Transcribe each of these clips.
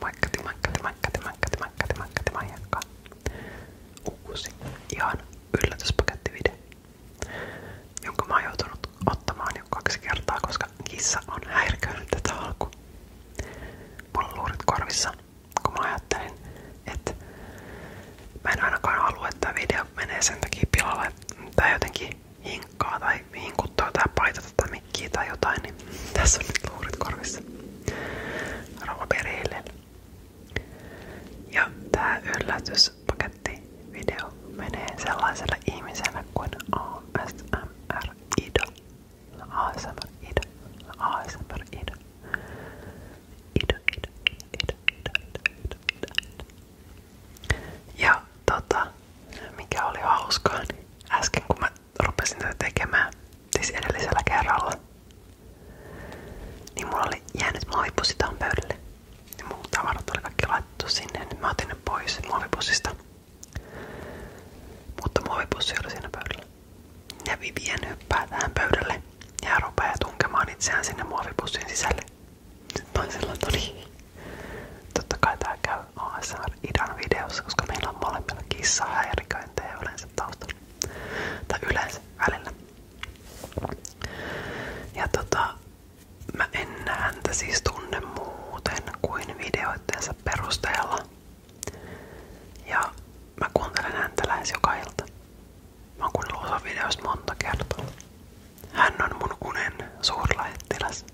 Maikkati, maikkati, maikkati, maikkati, maikkati, maikkati, maijakka. Uusi, ihan yllätyspakettivideo, jonka mä oon joutunut ottamaan jo kaksi kertaa, koska kissa on häiriköinyt tätä alku. Mulla on luurit korvissa, kun mä ajattelin, että mä en ainakaan halua, että video menee sen takia pilalle, tai jotenkin hinkkaa tai tai hinkuttaa tai paitata tota tai mikkiä tai jotain, niin tässä on nyt luurit korvissa. Rauha perheelle. Ja tää yllätyspaketti video menee sellaiselle ihmiselle kuin ASMR Ida. ASMR Ida. ASMR Ida. Ida, Ida, Ida, Ida, Ida, Ida, Ida, Ida. Ja tota, mikä oli hauskaa, niin äsken kun mä rupesin tätä tekemään, siis edellisellä kerralla, niin mulla oli jäänyt muovipussi tähän pöydälle. Ja mun tavarat oli kaikki laitettu sinne, niin mä otin ne pois muovipussista. Mutta muovipussi oli siinä pöydällä. Ja Vivien hyppää tähän pöydälle ja rupeaa tunkemaan itseään sinne muovipussin sisälle. Sitten mä olin totta kai tää käy ASMR-idan videossa, koska meillä on molemmilla kissahäiriköintejä yleensä taustalla. Tai yleensä välillä. Ja tota, mä en häntä siis tunne muuten kuin videoittensa perusteella. Ja mä kuuntelen häntä lähes Mä oon kuunnellut videoista monta kertaa. Hän on mun unen suurlähettiläs.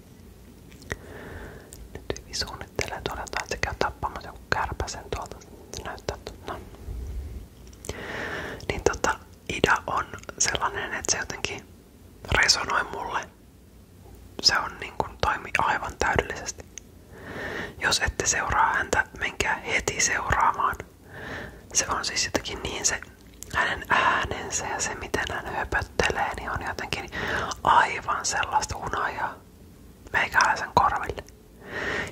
Nyt hyvin suunnittelee tuolla jotain, että se käy tappamassa joku kärpäsen tuolta. Se näyttää, no. Niin tota, Ida on sellainen, että se jotenkin resonoi mulle. Se on niin kuin toimi aivan täydellisesti. Jos ette seuraa häntä, menkää heti seuraamaan. Se on siis jotenkin niin se hänen äänensä ja se miten hän höpöttää höttelee, niin on jotenkin aivan sellaista unajaa, meikäläisen korville.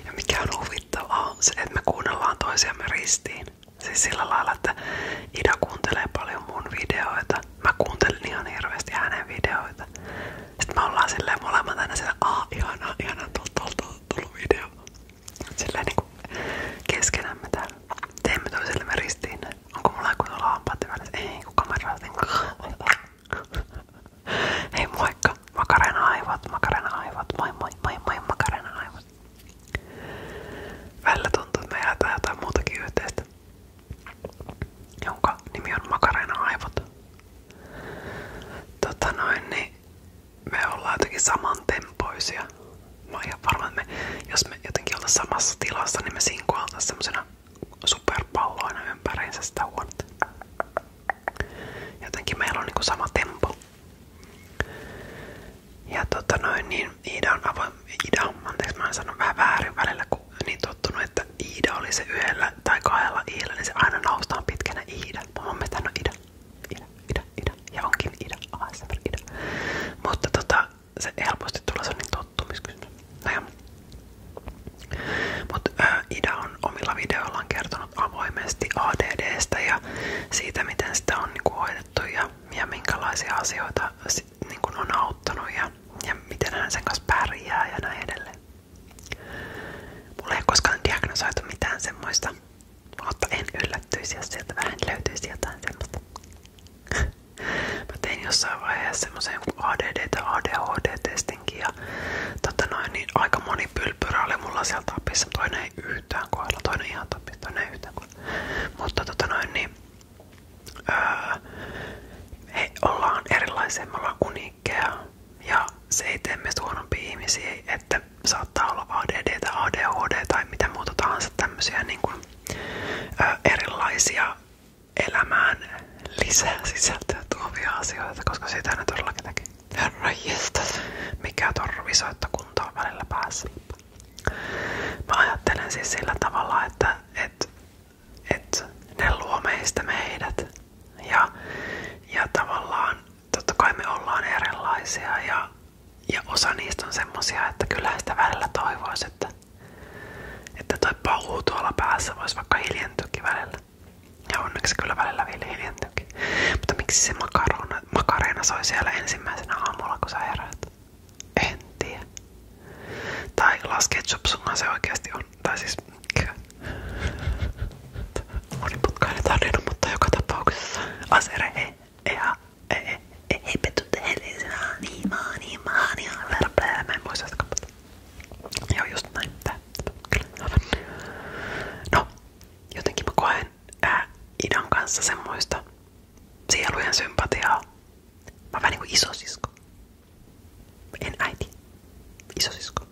Ja mikä on huvittavaa on se, että me kuunnellaan toisiamme ristiin. Siis sillä lailla, että Ida kuuntelee paljon mun videoita. Mä kuuntelin ihan hirveästi hänen videoita. Sitten me ollaan silleen molemmat aina siellä, aah ihana, ihana, tullut video. Silleen niinku keskenämme täällä. Teemme toisillemme ristiin Onko mulla joku tuolla hampaat välissä? Ei, kun kamera Hei moikka! Makarena aivot, makarena aivot, moi moi moi moi makarena aivot. Välillä tuntuu, että me jaetaan jotain on makarena aivot. Tota noin, niin me ollaan jotenkin samantempoisia. Mä oon ihan varma, että me, jos me jotenkin oltais samassa tilassa, niin me sinkoiltais semmosena superpalloina ympäriinsä sitä huonetta. Jotenkin meillä on niinku sama tempo. Ja tota noin, niin Iida on avoin, Ida, anteeksi mä en sano vähän väärin välillä, kun niin tottunut, että Iida oli se yhdellä tai kahdella iillä, niin se aina noustaan pitkänä Iida. Mun mielestä on no Ida, Ida, Ida, Ida, ja onkin Ida, ASMR Ida. Mutta tota, se helposti tulee sellainen tottumiskysymys. No Mutta Ida on omilla videoillaan kertonut avoimesti ADDstä ja siitä, miten sitä on niinku hoidettu ja, ja minkälaisia asioita sit, niinku on auttanut ja, ja miten hän sen kanssa pärjää ja näin edelleen. Mulla ei ole koskaan diagnosoitu mitään semmoista, mutta en yllättyisi, jos sieltä vähän löytyisi jotain semmoista. Mä tein jossain vaiheessa semmoisen ADD- tai ADHD-testinkin ja totta noin, niin aika moni pylpyrä oli mulla siellä tapissa. Toinen ei yhtään kohdalla, toinen ihan tapissa, toinen ei yhtään kohdalla. Mutta tota noin, niin öö, me ollaan erilaisia, me ollaan uniikkeja ja se ei tee meistä huonompia ihmisiä, että saattaa olla ADD tai ADHD tai mitä muuta tahansa tämmöisiä niin kuin, ö, öö, erilaisia elämään lisää sisältöä tuovia asioita, koska sitä ne todellakin teki. Herra jestas, mikä torvisoittokunto on välillä päässä. Mä ajattelen siis sillä tavalla, että et, et ne luo meistä meidät. Ja, ja tavallaan totta kai me ollaan erilaisia ja, ja osa niistä on semmosia, että kyllä sitä välillä toivoisi, että että toi paluu tuolla päässä voisi vaikka hiljentyykin välillä. Ja onneksi kyllä välillä vielä hiljentyykin. Mutta miksi se makarona, makareena soi siellä ensimmäisenä aamulla, kun sä heräät? En tiedä. Tai laskee chopsungan se oikeasti on. Tai siis... Moniputkainen tarina, mutta joka tapauksessa asere ei. Ihan e, Hei pettu tehellisenä, niin maa, niin maa, niin maa, Mä en muista sitä kappaletta. Joo, just näin. No, jotenkin mä koen ää, kanssa semmoista sielujen sympatiaa. Mä oon vähän niinku isosisko. En äiti. Isosisko.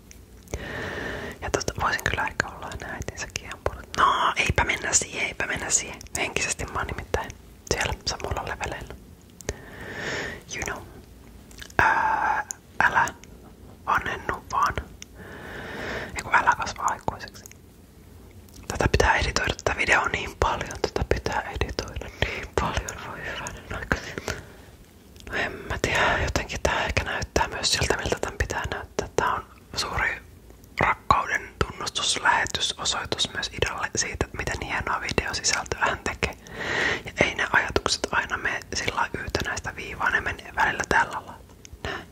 Ja voisin kyllä ehkä olla enää äitinsäkin ihan puolet. No, eipä mennä siihen, eipä mennä siihen. Henkisesti mä oon nimittäin siellä samalla leveleillä. You know. Ää, älä vanhennu vaan. Eiku älä kasva aikuiseksi. Tätä pitää editoida, tätä video on niin paljon, tätä pitää editoida niin paljon, voi hyvänen aika. No en mä tiedä, jotenkin tää ehkä näyttää myös siltä miltä tän pitää näyttää. Tää on suuri rakkauden tunnustuslähetys osoitus myös Idalle siitä, miten hienoa videosisältöä hän tekee. Ja ei ne ajatukset aina mene sillä yhtenäistä viivaa, ne menee välillä tällä lailla. Näin.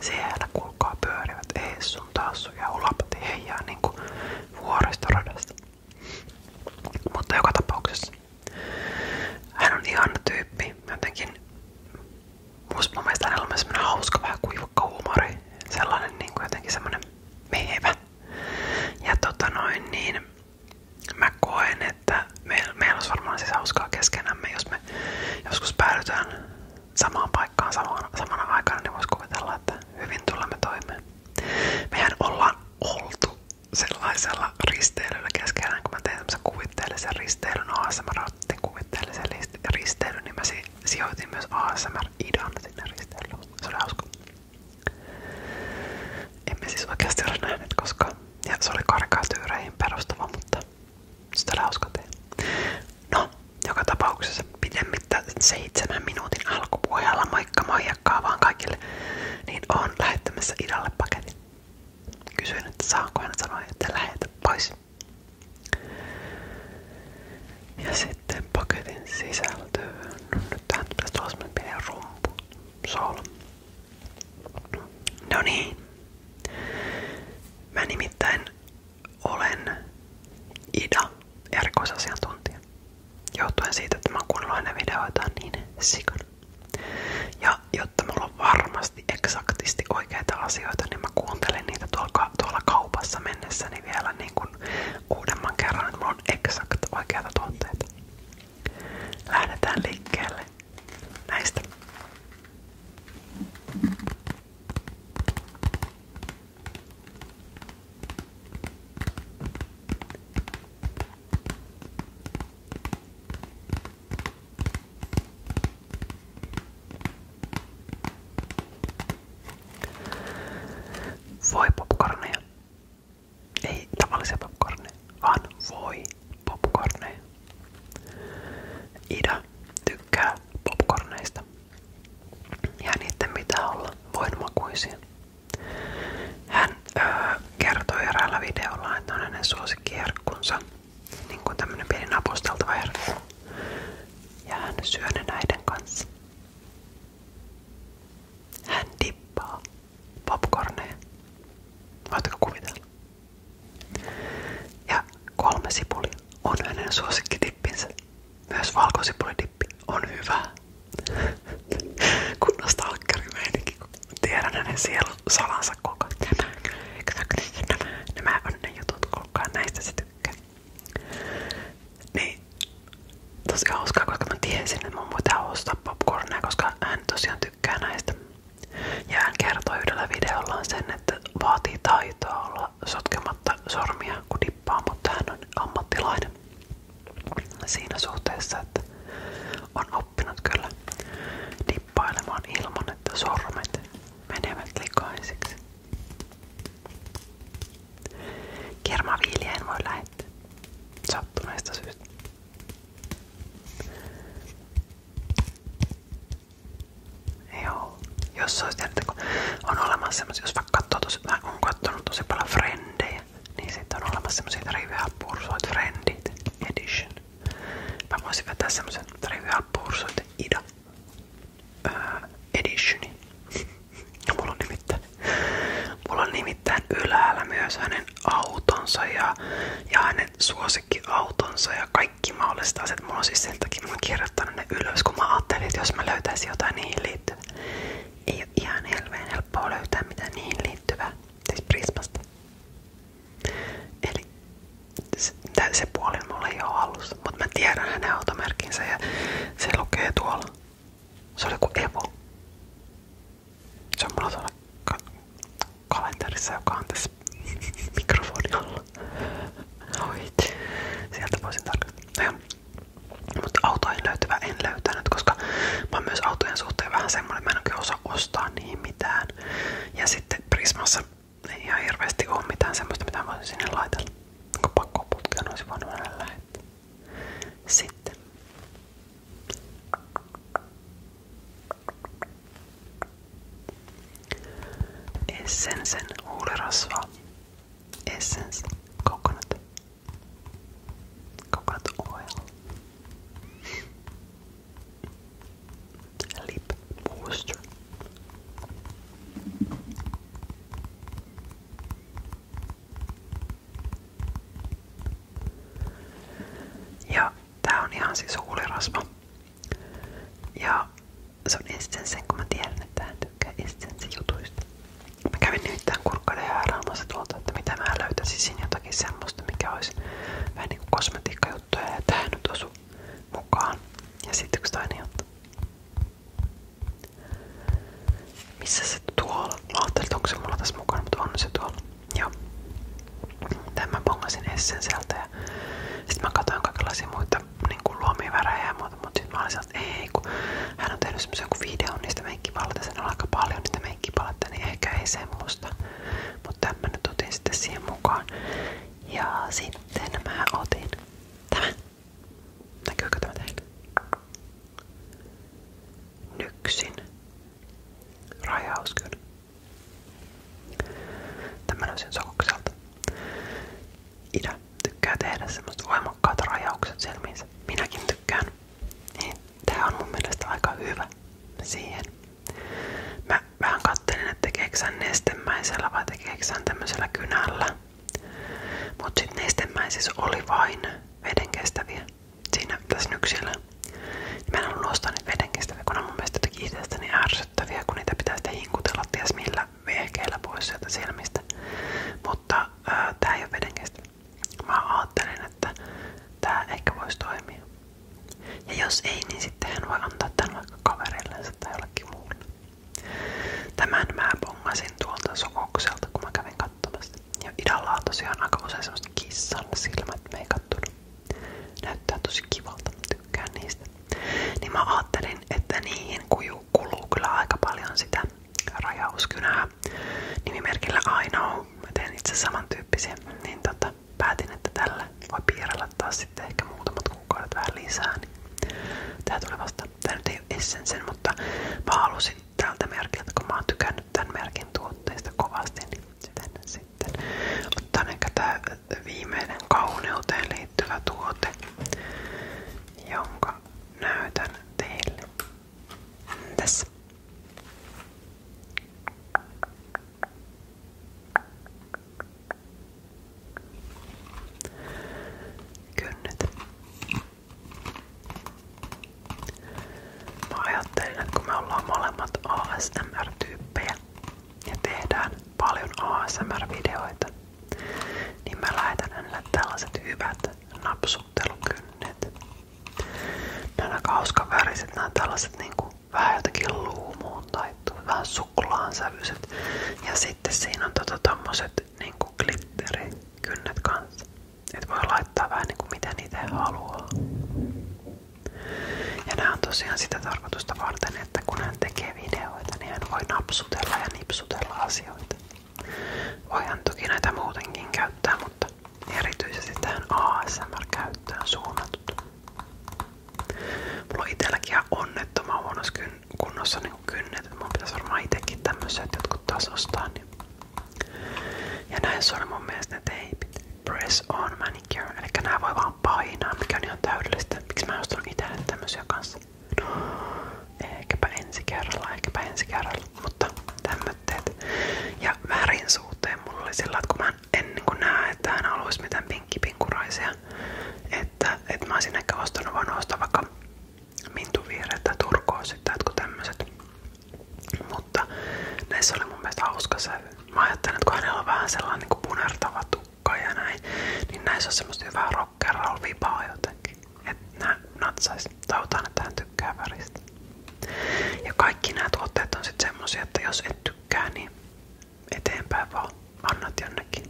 Siellä kulkaa pyörivät ees sun taassu ja ulapati heijaa niinku vuoristoradasta. Mutta joka tapauksessa hän on ihana tyyppi. Jotenkin musta mun mielestä hänellä on myös hauska, vähän kuivakka huumori. Sellainen niin kuin jotenkin semmonen mehevä. Ja tota noin, niin mä koen, että meillä, meillä olisi varmaan siis hauskaa jos me joskus päädytään samaan paikkaan samaan, samana aikana, niin voisi kuvitella, että hyvin tulemme toimeen. Mehän ollaan oltu sellaisella risteilyllä keskenään, mä tein tämmöisen kuvitteellisen risteilyn, ASMR-kuvitteellisen risteilyn, niin mä si sijoitin myös ASMR-idan sinne risteilyyn. Se oli Emme siis oikeasti ole nähneet koskaan. Ja No, joka tapauksessa pidemmittä seitsemän minuutin alkupuheella moikka moijakkaa kaikille, niin on lähettämässä idalle paketin. Kysyin, saanko hän sanoa, että lähetä pois. Ja paketin sisältöön. Nyt tähän pitäisi olla sellainen No niin. Mä nimittäin olen Ida, erikoisasiantuntija. Johtuen siitä, että mä oon aina niin sikana. Ja jotta mulla varmasti eksaktisti oikeita asioita, niin kuuntelen niitä tuolla, kaupassa mennessä mielelläni vielä niin kuin uudemman kerran, että mulla on exakt oikeita tuotteita. Lähdetään liikkeelle näistä. Voi popcorneja. Ei tavallisia popcorneja, vaan voi popcorneja. Ida tykkää popcorneista. Ja niiden pitää olla voinmakuisia. Hän öö, kertoi eräällä videolla, että hänen suosikkiherkkunsa. Niin kuin tämmönen pieni napusteltava herkku ja hän Hän tippaa popcorneja. Voitko kuvitella? Ja kolme sipuli on hänen suosikkitippinsä. Myös valkosipulidippi on hyvä. Kunnosta alkkarimeininki, kun tiedän hänen sielun salansa koko ajan. Nämä on ne jutut, kukaan näistä se tykkää. Niin tosi koska mä tiesin, että mun koska hän tosiaan tykkää näistä. Ja hän kertoi yhdellä videollaan sen, että vaatii taitoa sotkematta sormia, kun dippaa, mutta ammattilainen siinä suhteessa, on oppinut kyllä ilman, että sormet menevät likaisiksi. Kermaviiliä en voi lähettää. Sattuneesta syystä. Joo, jos olisi tiedätte, kun on olemassa semmoisia, jos vaikka katsoo tosi, mä oon kattonut tosi paljon frendejä, niin sitten on olemassa semmoisia Trivia Pursuit Friendit Edition. Mä voisin vetää semmoisen Trivia Pursuit Ida ää, editioni. Ja mulla on nimittäin, mulla on nimittäin ylhäällä myös hänen autonsa ja, ja hänen suosikkiautonsa ja kaikki mahdolliset asiat. Mulla on siis sen takia mä oon kirjoittanut ne ylös, kun mä ajattelin, että jos mä löytäisin jotain niihin liittyvää. Ei ole ihan helveen helppoa löytää mitään niihin liittyvää. Siis Prismasta. Eli se puoli mulla ei ole alussa, mutta mä tiedän hänen automerkinsä ja se lukee tuolla. Se oli kuin Evo. Se on mulla tuolla ka kalenterissa, joka on tässä mikrofonin alla. Oit. Sieltä voisin tarkastaa. Mutta autoihin löytyvä en löytänyt, koska mä oon myös autojen suhteen vähän semmoinen, että mä en oikein osaa ostaa niihin mitään. Ja sitten Prismassa ei ihan hirveästi ole mitään semmoista, mitä voisin sinne laitella. Kun pakko putkeen olisi voinut mennä lähettää. Sitten. Essensen huulirasva. Essence coconut. Coconut oil. Lip Booster. Ja tää on ihan siis huulirasva. Ja se on Essensen, kun mä tiedän, että hän tykkää Essensen jutuista. Mä tuolta, että mitä mä löytäisin jotakin semmoista, mikä olisi vähän niinku kosmetiikkajuttuja ja tähän nyt osu mukaan. Ja sitten yksi toinen juttu. Missä se tuolla? Mä ajattelin, se mulla tässä mukana, mutta on se tuolla. Joo. Tän mä bongasin Essen sieltä ja sit mä katsoin kaikenlaisia niin muuta, mutta sit mä olin sieltä, että ei kun hän on tehnyt semmosen kuin videon niistä meikkipaleita, sen on aika paljon niitä meikkipaletta, niin ehkä ei semmoista. Mutta tämän mä nyt otin mukaan. Ja sitten mä otin tämän. Näkyykö tämä teille? Nyksin. Rajauskyn. Tämä löysin sokukselta. Ida tykkää tehdä semmoista voimakkaat rajaukset silmiinsä. Minäkin tykkään. Niin, tää on mun mielestä aika hyvä siihen. Mä vähän katselin, että tekeekö nestemäisellä vai tekeekö tämmöisellä kynällä. Mutta sitten nestemäisissä oli vain vedenkestäviä siinä tässä nyksillä. Mä en ollut ostaa niitä vedenkestäviä, kun on mun mielestä jotenkin itsestäni niin ärsyttäviä, kun niitä pitää sitten hinkutella ties millä vehkeillä pois sieltä silmistä. Mutta ää, tää ei ole vedenkestävä. Mä ajattelin, että tää ehkä voisi toimia. Ja jos ei, niin sitten hän voi antaa tämän vaikka kavereillensa tai jollekin muulle. Tämän mä bongasin tuolta sokokselta, kun mä kävin katsomassa. Ja idalla on tosiaan aika usein semmoset kissan silmät meikattunut. Näyttää tosi kivalta, tykkään niistä. Niin mä ajattelin, että niihin kuju kuluu kyllä aika paljon sitä rajauskynää nimimerkillä Aino. Mä teen itse samantyyppisiä. Niin tota, päätin, että tälle voi piirrellä taas sitten ehkä muutamat kuukaudet vähän lisää. Niin tää tuli vasta, tää nyt ei ole Essensen, mutta mä halusin tältä merkiltä, kun mä oon tykännyt tämän merkin tuotteista kovasti, niin sitten sitten otan ehkä tää viimeinen kauneuteen liittyvä tuote, jonka näytän teille. Tässä. Kynnet. Mä ajattelin, että kun molemmat ASMR-tyyppejä ja tehdään paljon ASMR-videoita, niin mä lähetän hänelle tällaiset hyvät napsuttelukynnet. Nämä hauskaväriset, nämä tällaiset niinku vähän jotenkin luumuun tai vähän suklaan sävyiset. Ja sitten siinä on tota tommoset niinku glitterikynnet kanssa. Et voi laittaa vähän kuin niinku miten itse haluaa. Ja nämä on tosiaan sitä tarkoitusta varten, että kun hän tekee videoita, niin hän voi napsutella ja nipsutella asioita. Voihan toki näitä muutenkin käyttää, mutta erityisesti tähän ASMR-käyttöön suunnatut. Mulla on itselläkin ihan onnettoman niin kynnet. Mun pitäisi varmaan itsekin jotkut taas ostaa. Niin. Ja näissä on mun mielestä ne teipit. Press on manicure. Eli nämä voi vaan painaa, on ihan täydellistä. Miksi mä kanssa? No, ehkäpä ensi kerralla, ehkäpä ensi kerralla. Mutta tämmötteet. Ja värin suhteen mulla oli sillä, että kun mä en niin näe, että hän haluaisi mitään pinkkipinkuraisia. Että, että mä olisin ehkä ostanut vaan ostaa vaikka mintuviireet tai turkoosit tai jotkut tämmöiset. Mutta näissä oli mun mielestä hauska se. Mä ajattelin, että kun hänellä on vähän sellainen niin kuin punertava tukka ja näin, niin näissä on semmoista hyvää rockerol vibaa jotenkin. Että nää natsais. Tautaan, että hän tykkää väristä. Ja kaikki nämä tuotteet on sitten semmosia, että jos et tykkää, niin Eteenpäin vaan. Annat jonnekin.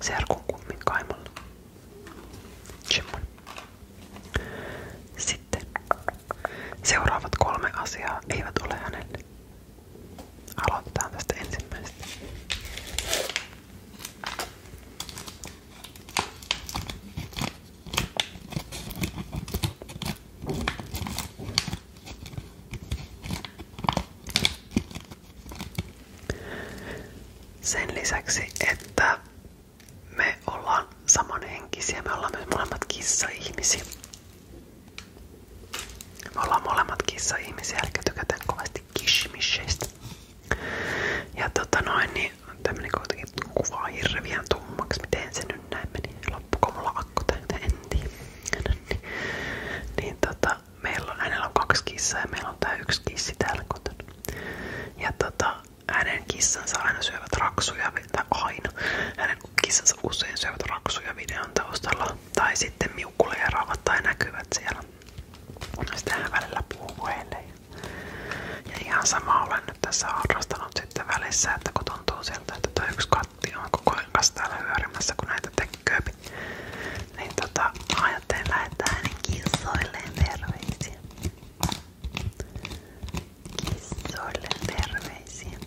Serkun kummin kaimolla. Jimon. Sitten. Seuraavat kolme asiaa eivät ole hänelle. Aloitetaan tästä ensimmäisestä. Sen lisäksi, että me ollaan samanhenkisiä, me ollaan myös molemmat kissa-ihmisiä. Me ollaan molemmat kissa-ihmisiä, eli tykätään kovasti kishmisheistä. Ja tota noin, niin tämmönen kuitenkin kuvaa hirveän tummaksi, miten se nyt näin meni loppuko mulla akku täytä, Niin, niin meillä on, kaksi kissaa meillä on tää yksi kissi täällä kotona. Ja tota, hänen kissansa aina syövät raksuja, tai aina, hänen kissansa usein syövät raksuja videon taustalla. Tai sitten miukkuleeraavat tai näkyvät siellä. Sitten hän välillä puhuu heille. Ja ihan sama olen nyt tässä harrastanut sitten välissä, että kun tuntuu sieltä, että tuo yksi Tämä on koko ajan kanssa täällä kun näitä tekee. Niin tota, ajattelin lähettää hänen kissoilleen terveisiä. Kissoilleen terveisiä.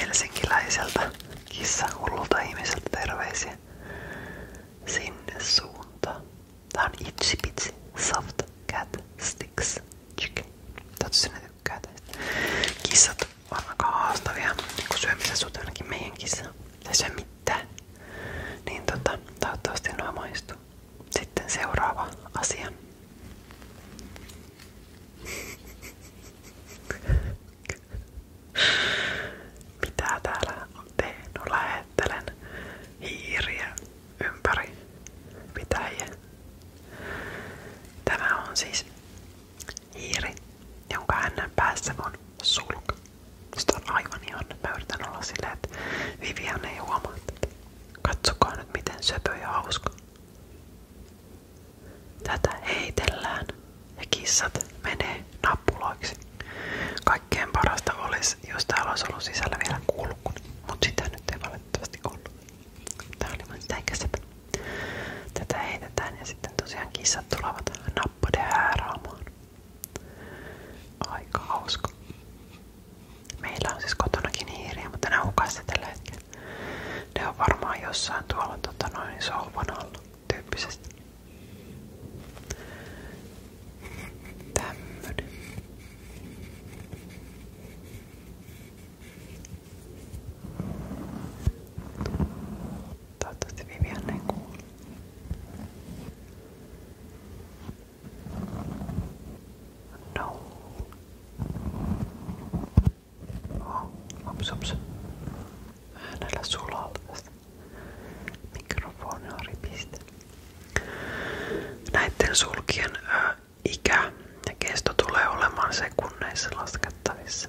Helsinkiläiseltä kissahullulta ihmiseltä terveisiä. Sinne suuntaan. Tää on Itchy Pitsi Soft Cat Sticks Chicken. Täytyy sinne tykkää tästä. on aika haastavia, kun syömisen suhteen ainakin meidän kissa. Se syö mitään. Niin tota, toivottavasti nuo maistuu. Sitten seuraava asia. Mitä täällä on tehnyt? Lähettelen hiiriä ympäri pitäjiä. Tämä on siis hiiri, jonka hänen päässä on sulka. Sitä on aivan ihana. Mä yritän olla silleen, että Vivian ei huomaa tätä. Katsokaa nyt miten söpö ja hauska. Tätä heitellään ja kissat menee nappuloiksi. Kaikkein parasta olisi, jos täällä olisi ollut sisällä vielä kulkuni, mutta sitä nyt ei valitettavasti ollut. Tää oli mun sitä ikäisepä. Tätä heitetään ja sitten tosiaan kissat tulevat nappoiden hääraamaan. Aika hauska. Meillä on siis kotonakin hiiriä, mutta ne hukassa tällä hetkellä. Ne on varmaan jossain tuolla tota noin, sohvan alla tyyppisesti. Tämmönen. Toivottavasti Vivian ei kuulu. No. Oh, ups, ups. Äänellä sulaa tästä mikrofoniooripiste. Näitten sulkien ikä ja kesto tulee olemaan sekunneissa laskettavissa.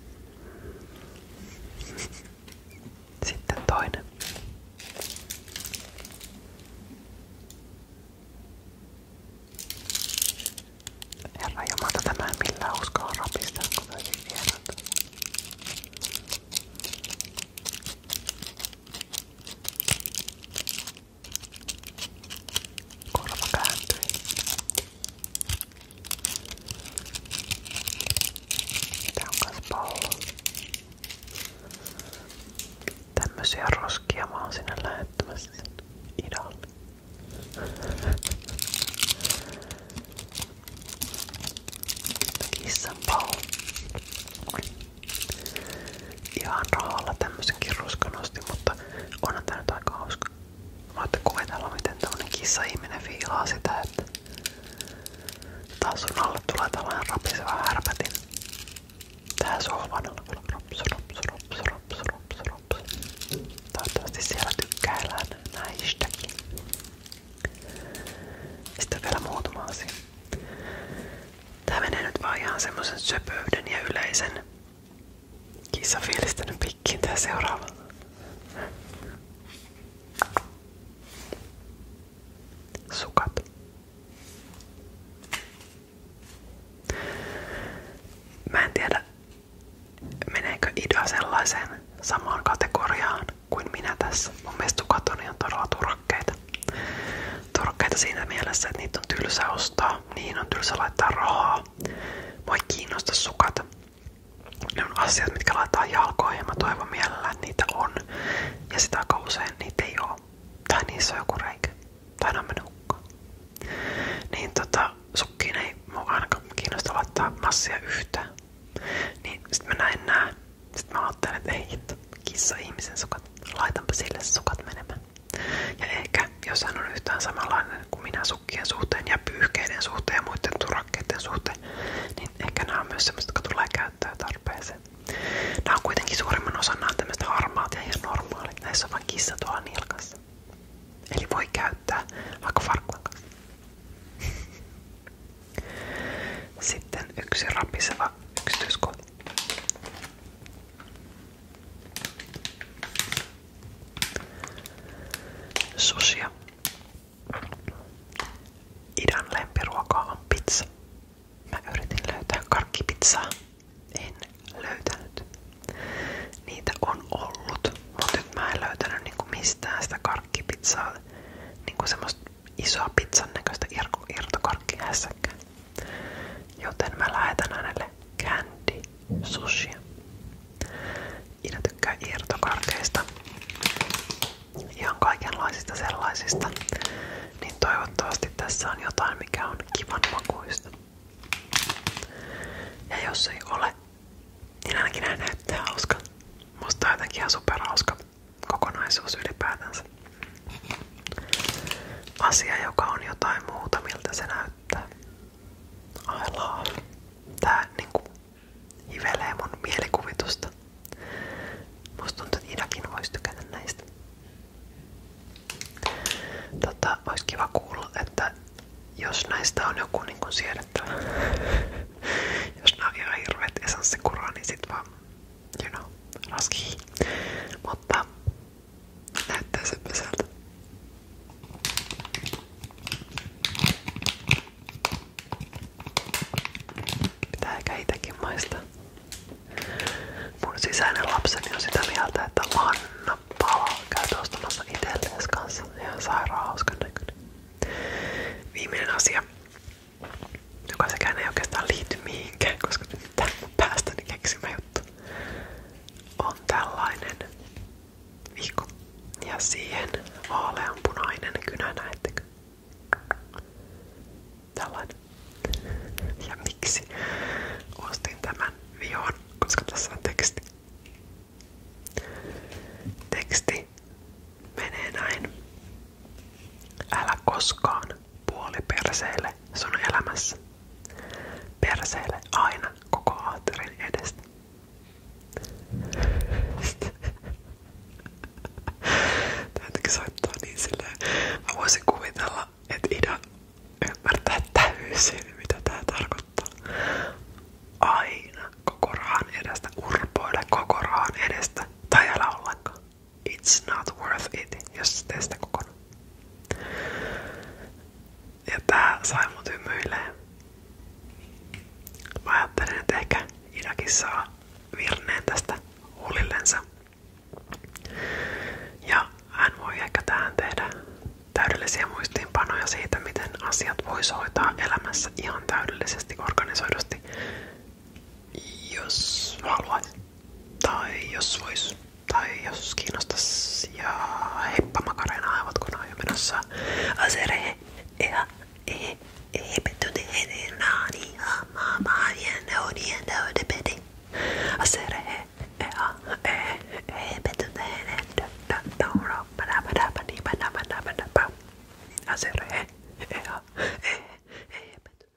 Sitten toinen. Herra Jumala, tämä en millään uskalla rapistaa, kun täysin vierata. Korva kääntyi. Tää on kas pallo. Tämmösiä roskia mä oon sinne lähettämässä idalle. Kissan pau ihan rahalla tämmösenkin ruskanosti, mutta onhan tää nyt aika hauska. Voitte kuvitella miten tämmönen kissa-ihminen fiilaa sitä, että taas sun alle tulee tällainen rapiseva härpätin. Tää sohvan alla rops, rops, rops, rops, rops, rops. Toivottavasti siellä tykkäillään näistäkin. Sitten vielä muutama asia. Tää menee nyt vaan ihan semmosen söpöyden ja yleisen Kissa fiilistänyt pikkiin tää seuraava. Sukat. Mä en tiedä, meneekö idea sellaiseen samaan kategoriaan kuin minä tässä. Mun mielestä sukat on ihan todella turhakkeita. Torkkeita siinä mielessä, että niitä on tylsä ostaa, niihin on tylsä laittaa rahaa. Voi kiinnosta sukat. Ne on asiat, mitkä laittaa jalkoihin ja mä toivon mielellään, että niitä on. Ja sitä aika usein niitä ei oo. Tai niissä on joku reikä. Tai ne on Niin tota, sukkiin ei mua ainakaan kiinnosta laittaa massia yhtään. Niin sit mä näin nää. Sit mä ajattelin, että ei hitto, kissa ihmisen sukat. Laitanpa sille sukat menemään. Ja ehkä, jos hän on yhtään samanlainen kuin minä sukkien suhteen ja pyyhkeiden suhteen ja muiden turakkeiden suhteen, niin ehkä nämä on myös sellaiset, jotka tulee käyttää tarpeeseen. Nämä on kuitenkin suurimman osan nämä tämmöiset harmaat ja ihan normaalit. Näissä on vain kissa tuolla nilkassa. Eli voi käyttää vaikka farkkuun kanssa. Sitten yksi rapiseva yksityiskohta. Susia. Idän lempiruokaa on pizza. Mä yritin löytää karkkipizzaa. En löytänyt. Niitä on ollut, mutta nyt mä en löytänyt niinku mistään sitä karkkipizzaa. Niinku semmoista isoa pizzan näköistä irtokarkkihässäkkää. Joten mä lähetän hänelle candy sushia. Ida tykkää irtokarkeista. Ihan kaikenlaisista sellaisista. Niin toivottavasti tässä on jotain, mikä on kivan makuista. Ja jos ei ole, niin ainakin näyttää hauskan. Musta on jotenkin ihan superhauska kokonaisuus ylipäätänsä. Asia, joka on jotain muuta, miltä se näyttää. I love. Tää niinku hivelee mun mielikuvitusta. Musta tuntuu, että Idakin voisi tykätä näistä. Tota, olisi kiva kuulla, että jos näistä on joku niin siedettävä, jos nämä on ihan hirveet essanssikuraa, niin sit vaan, you know, raskii. Mutta Näyttää semmoiselta. Pitää ehkä itäkin maistaa. Mun sisäinen lapseni on sitä mieltä, että Anna Pala käy ostamassa itselleen kanssa. Viimeinen asia, joka sekään ei oikeastaan liity koska nyt tää mun päästäni oikeutta on tällainen vihko. Ja siihen vaaleanpunainen kynä, näettekö? Tällainen. Ja miksi ostin tämän vihon? Koska tässä teksti. Teksti menee näin puoli perseille sun elämässä. Perseille aina koko aatterin edestä. Täytyykin soittaa niin silleen. Mä voisin kuvitella, että Ida ymmärtää täysin, mitä tää tarkoittaa. Aina koko rahan edestä, urpoile koko rahan edestä tai älä ollenkaan. It's not worth it, jos tee sitä Ja tää sai mut hymyilee. Mä ajattelin, että ehkä tästä huulillensa. Ja hän voi ehkä tähän tehdä täydellisiä muistiinpanoja siitä, miten asiat voisi hoitaa elämässä ihan täydellisesti, organisoidusti, jos haluat tai jos vois. Tai jos kiinnostas ja heippa Makarena, aivat kun on jo menossa asere ja e, e, heipettyteen naani ja maavien neonien täydepedi. Asere ja e, heipettyteen tauro no, padabadabadi padabadabadaba. Asere ja heipettyteen.